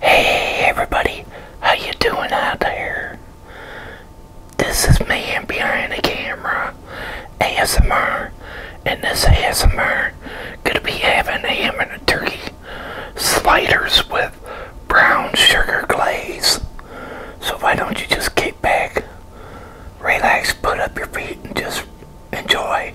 Hey everybody, how you doing out there? This is me behind the camera, ASMR, and this ASMR gonna be having a ham and turkey sliders with brown sugar glaze. So why don't you just kick back, relax, put up your feet, and just enjoy.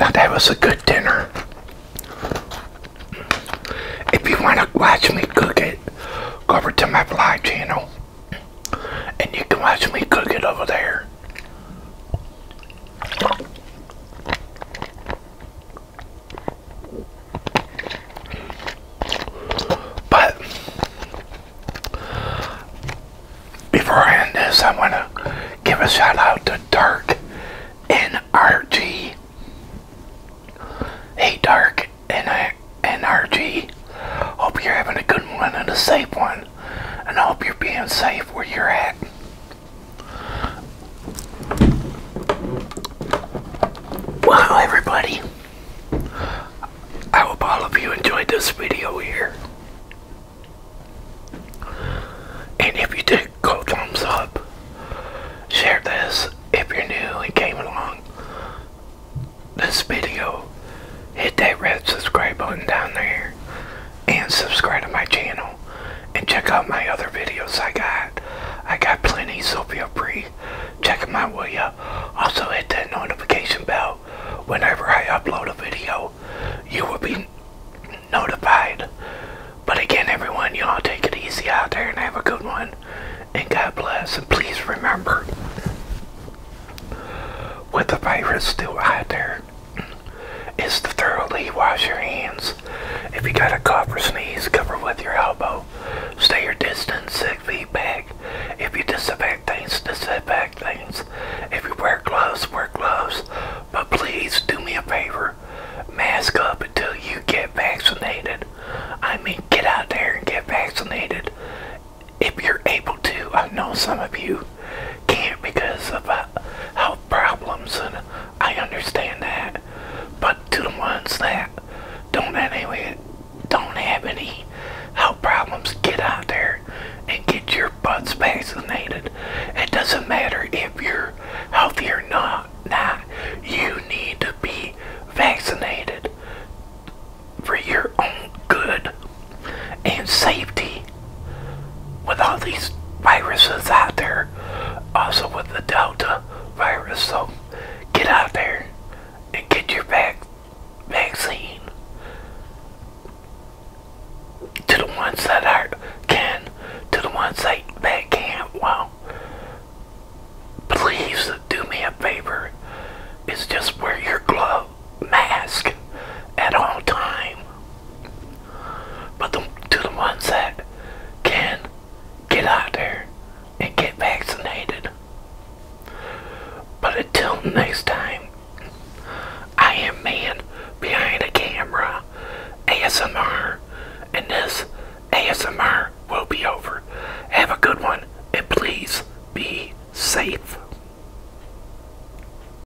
Now that was a good dinner. If you want to watch me cook it, go over to my vlog channel and you can watch me cook it over there. But before I end this, I want to give a shout out to Dark NRG. Hey, Dark NRG. Hope you're having a good one and a safe one. And I hope you're being safe where you're at. Wow, everybody. I hope all of you enjoyed this video here. And if you did, go thumbs up. Share this if you're new and came along this video. Hit that red subscribe button down there and subscribe to my channel and check out my other videos I got. I got plenty, so feel free. Check them out, will ya? Also hit that notification bell. Whenever I upload a video, you will be notified. But again, everyone, y'all take it easy out there and have a good one. And God bless. And please remember, with the virus still out there, is to thoroughly wash your hands. If you got a cough or sneeze, cover with your elbow. Stay your distance six feet back. If you disinfect things, disinfect things. If you wear gloves, wear gloves. But please do me a favor. Mask up until you get vaccinated. I mean, get out there and get vaccinated if you're able to. I know some of you can't because of uh, how problems, and I understand that. But to the ones that don't anyway, don't have any health problems, get out there and get your butts vaccinated. It doesn't matter if you're healthy or not. Not you need to be vaccinated for your own good and safety with all these viruses out there, also with the Delta virus. So get out there and get your vac vaccine to the ones that are can, to the ones that, that can't. Well, please do me a favor. It's just wear your glove mask at all time but the, to the ones that can get out there and get vaccinated. But until next time, I am man behind a camera, ASMR, and this ASMR will be over. Have a good one, and please be safe.